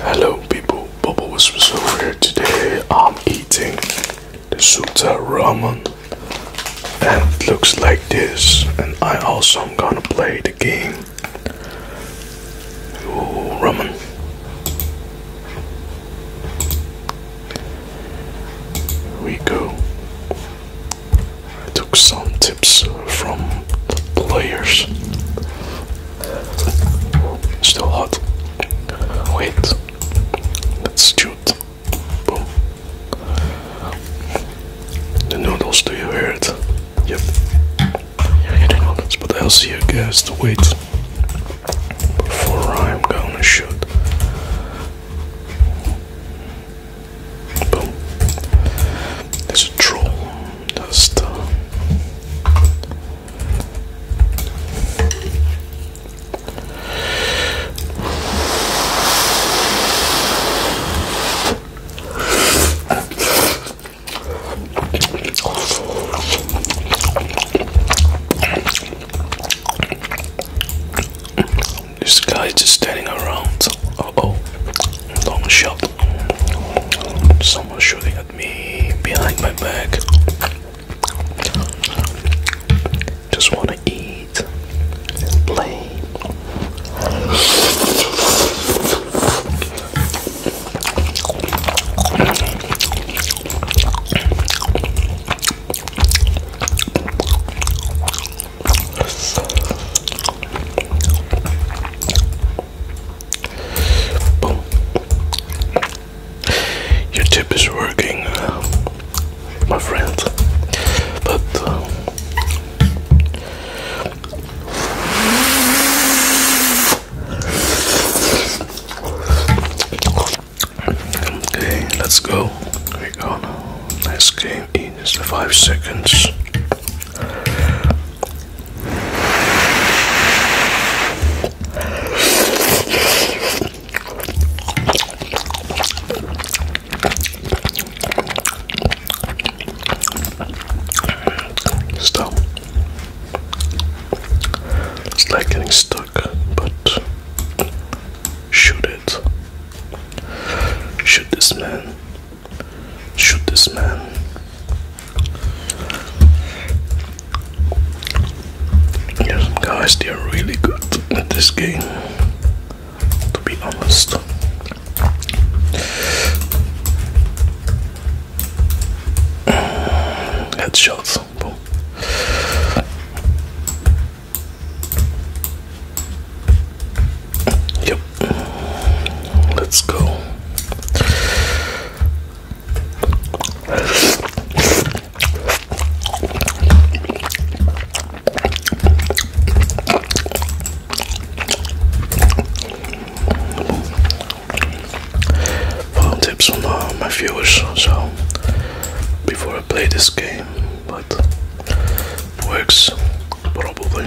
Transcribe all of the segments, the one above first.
Hello people, Bubble Whispers over here. Today I'm eating the Suta ramen and it looks like this and I also am gonna play the game Ooh, ramen. Here we go. I took some tips from the players Still hot. Wait. Let's shoot. Boom. The noodles, do you hear it? Yep. You're hitting but I'll see you guys to wait. Before I'm gonna shoot. Boom. There's a troll this guy is just standing around. Uh oh, long shot. Someone shooting at me behind my back. Just wanna eat and play. Boom. Your tip is working, my friend. But um, okay, let's go. We go Next game is five seconds. Stop. it's like getting stuck, but should it. Should this man. Shoot this man. Yes, guys, they are really good at this game, to be honest. Headshots. Yep. Let's go. Follow tips from uh, my viewers, so before I play this game, but works probably.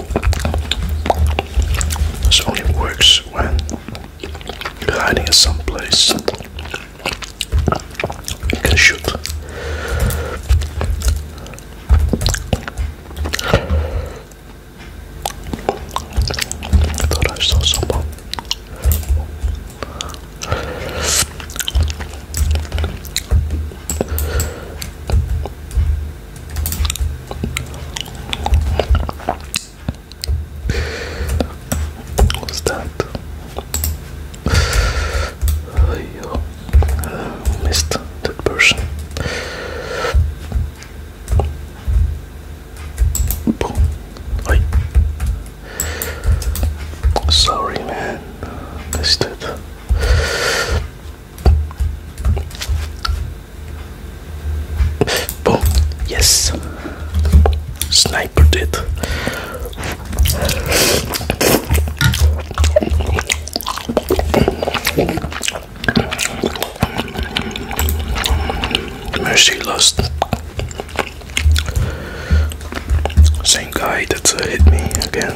This only works when you're hiding in some place. You can shoot. thought I saw someone. What's that? I missed that person. I sorry man, missed it. Boom. Yes. Sniper did. Mercy lost. Same guy that uh, hit me again.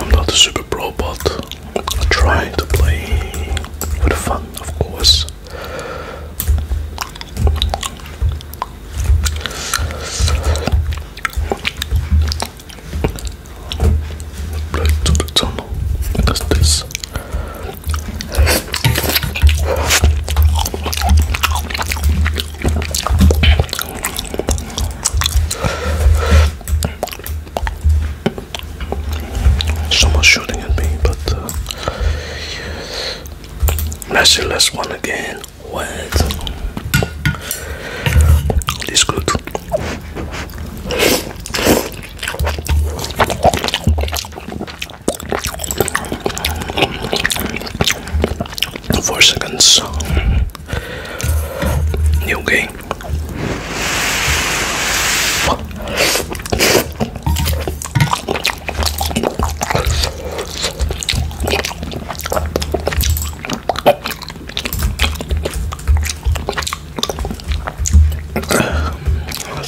I'm not a super pro, but I try to play for the fun, of course. Blood to the tunnel. That's this. Someone's shooting at me, but uh, let see, let one again. What? this good. Four seconds. New Let's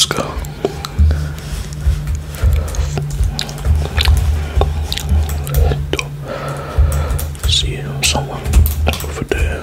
go. See him, someone over there.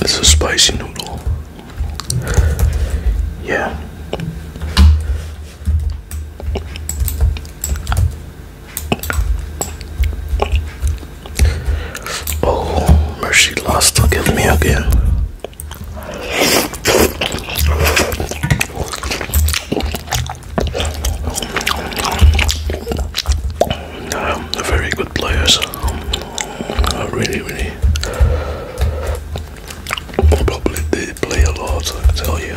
It's a spicy noodle. Yeah. Oh, mercy lost to give me again. Um, they're very good players. Um, I really, really. Probably did play a lot, I tell you.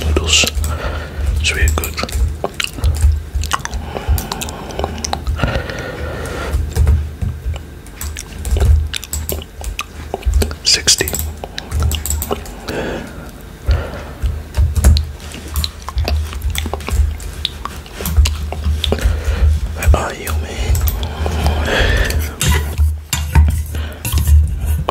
noodles. It's really good. Sixty. Where are you, man?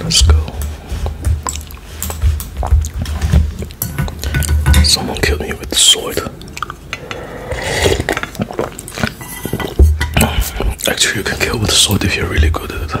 Let's go. Someone killed me with the sword. Actually, you can kill with the sword if you're really good at it.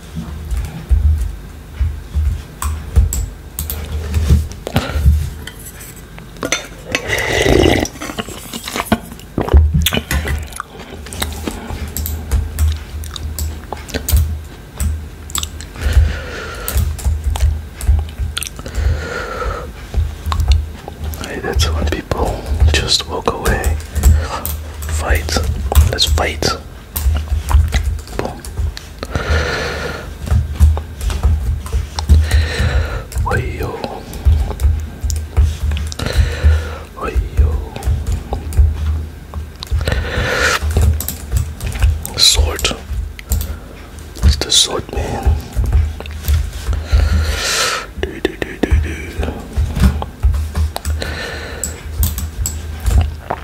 Hey, that's when people just walk away. Fight. Let's fight. Bon. Oi Sword. It's the sword man. Do do do do do.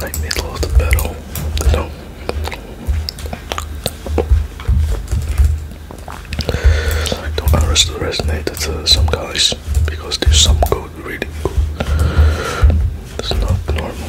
Like middle of the battle, no. I don't understand resonate with some guys because there's some good, really good. It's not normal.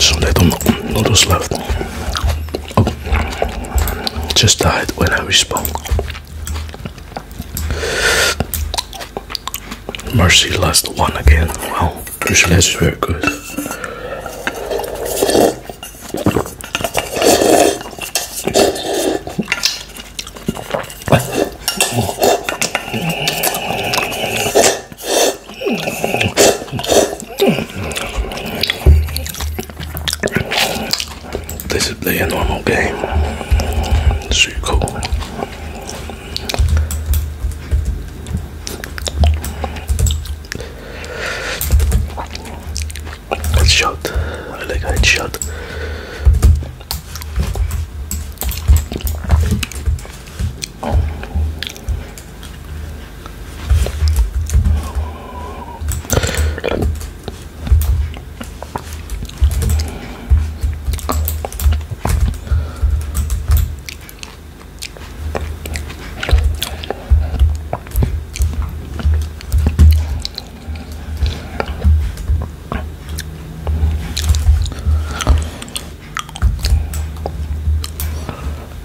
So little noodles left. Oh. just died when I respawned. Mercy lost one again. Wow. This is very good. This is play a normal game. So cool. It's shut. I like how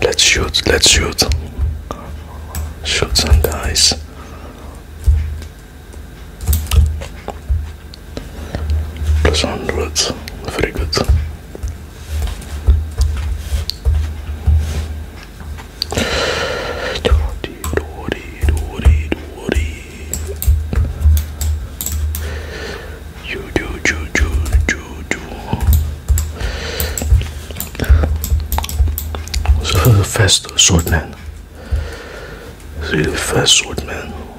Let's shoot, let's shoot. Shoot some guys plus onwards. Very good. You do, do, do, do, do. This is the first swordman. This first swordman.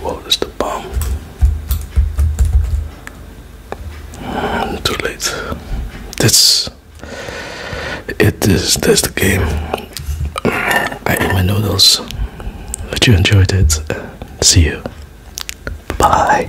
What is the bomb? Ah, too late. That's it. Is that's the game. I ate my noodles. But you enjoyed it. See you. Bye.